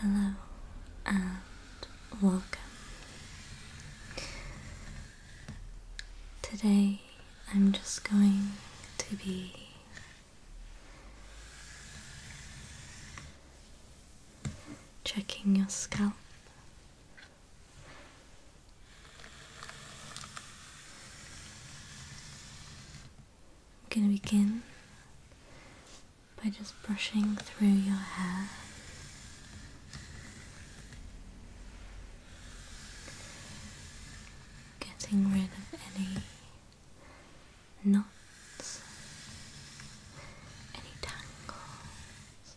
Hello and welcome. Today I'm just going to be checking your scalp I'm going to begin by just brushing through your hair. Getting rid of any knots, any tangles,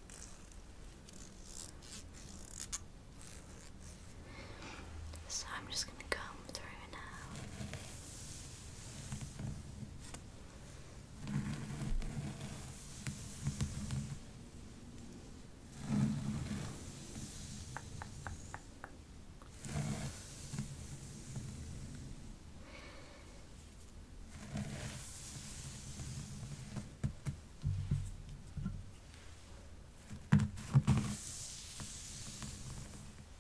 So I'm just going to come through now.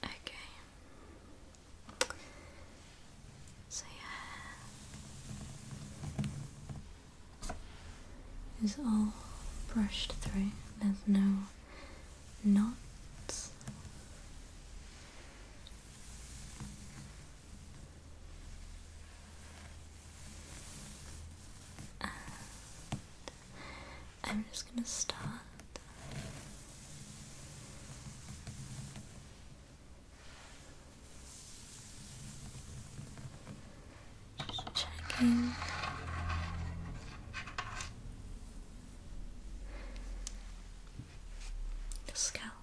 Okay. So yeah, is all brushed through. There's no knots. I'm just going to start just checking. Your scalp.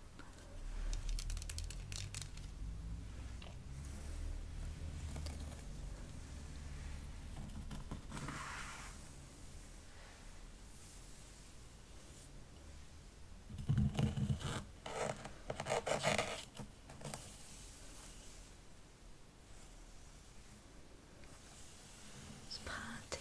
Just parting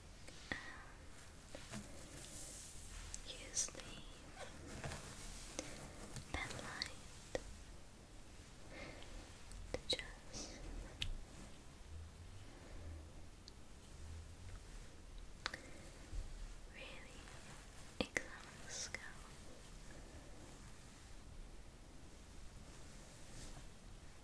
and use the light to just really examine the scalp.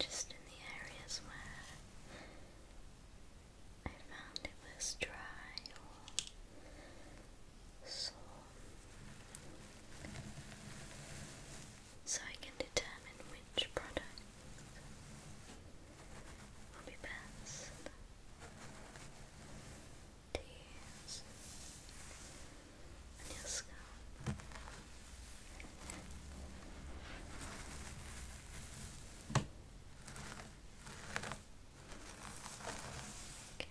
Just in the areas where I found it was dry or sore so I can determine which product will be best to your scalp. Okay. Okay.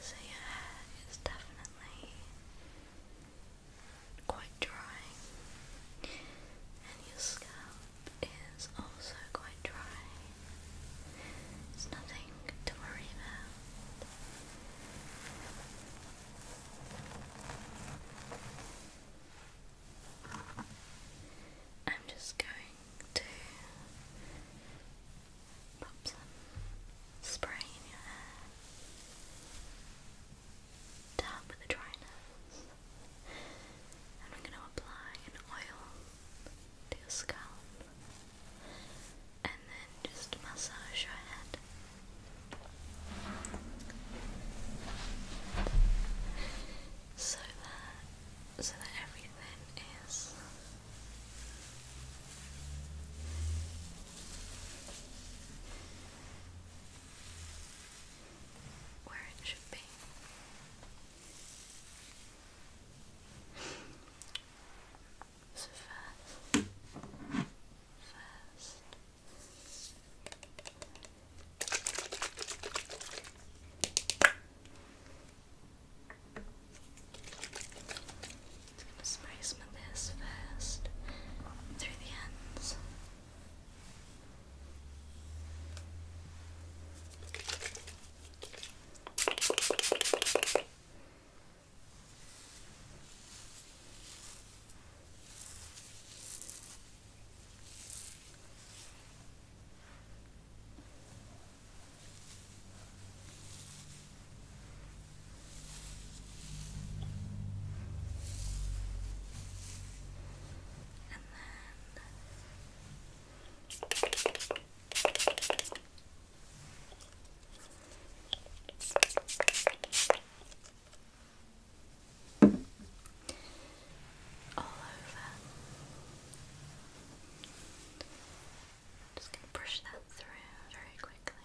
So your hair is definitely quite dry, and your scalp is also quite dry. It's nothing to worry about. I'm just going to pop some spray in your hair tap the dryness. And I'm going to apply an oil to your scalp. And then just massage your head. So that so that everything is where it should be. So first, first. Just gonna spray some of this first through the ends. And then all over. Just going to brush that through very quickly.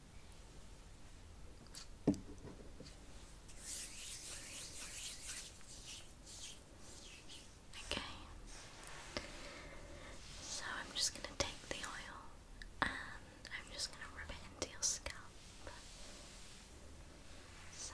Okay. So I'm just going to take the oil and I'm just going to rub it into your scalp. So.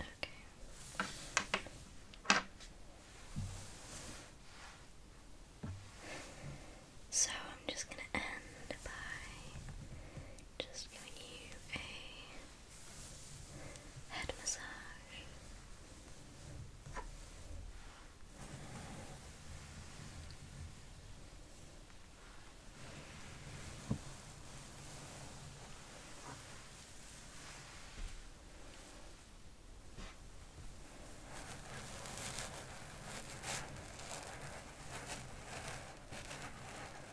Okay. So I'm just going to end by just giving you a head massage.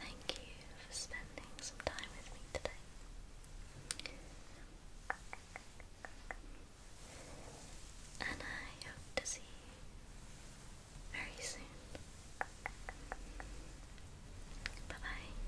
Thank you for spending some time with me today. And I hope to see you very soon. Bye bye.